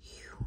Human.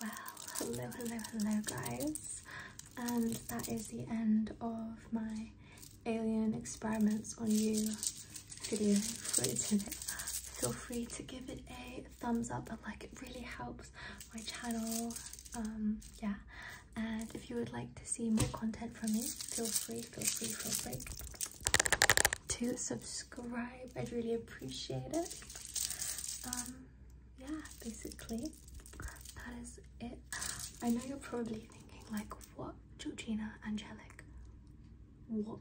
Well, hello, hello, hello, guys. And um, that is the end of my alien experiments on you video for it feel free to give it a thumbs up and like it really helps my channel um, yeah and if you would like to see more content from me feel free feel free feel free to subscribe i'd really appreciate it um, yeah basically that is it i know you're probably thinking like what georgina angelic what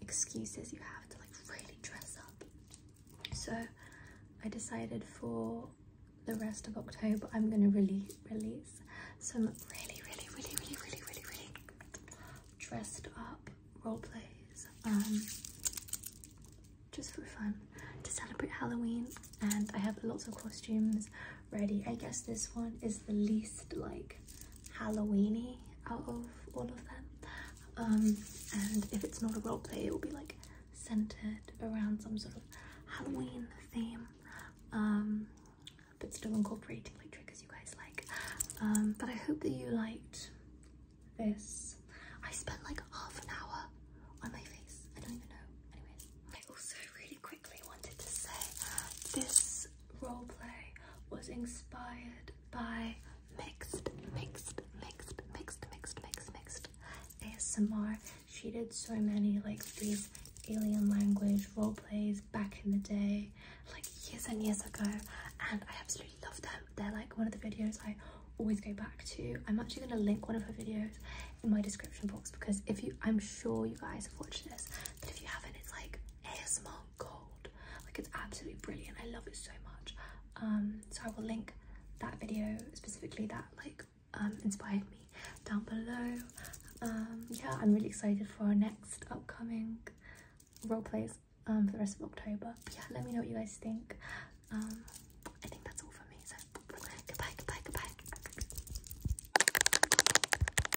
excuses you have to like really dress up. So I decided for the rest of October I'm gonna really release some really really really really really really really dressed up role plays um just for fun to celebrate Halloween and I have lots of costumes ready. I guess this one is the least like Halloweeny out of all of them. Um, and if it's not a role play, it will be like centered around some sort of Halloween theme, um, but still incorporating like triggers you guys like. Um, but I hope that you liked this. I spent like half an hour on my face. I don't even know. Anyways, I also really quickly wanted to say this this roleplay was inspired by mixed, mixed, mixed, mixed, mixed, mixed, mixed ASMR. She did so many like these alien language roleplays back in the day, like years and years ago, and I absolutely love them. They're like one of the videos I always go back to. I'm actually going to link one of her videos in my description box because if you, I'm sure you guys have watched this, but if you haven't, it's like ASMR on cold like it's absolutely brilliant i love it so much um so i will link that video specifically that like um inspired me down below um yeah i'm really excited for our next upcoming role plays um for the rest of october but yeah let me know what you guys think um i think that's all for me so goodbye goodbye goodbye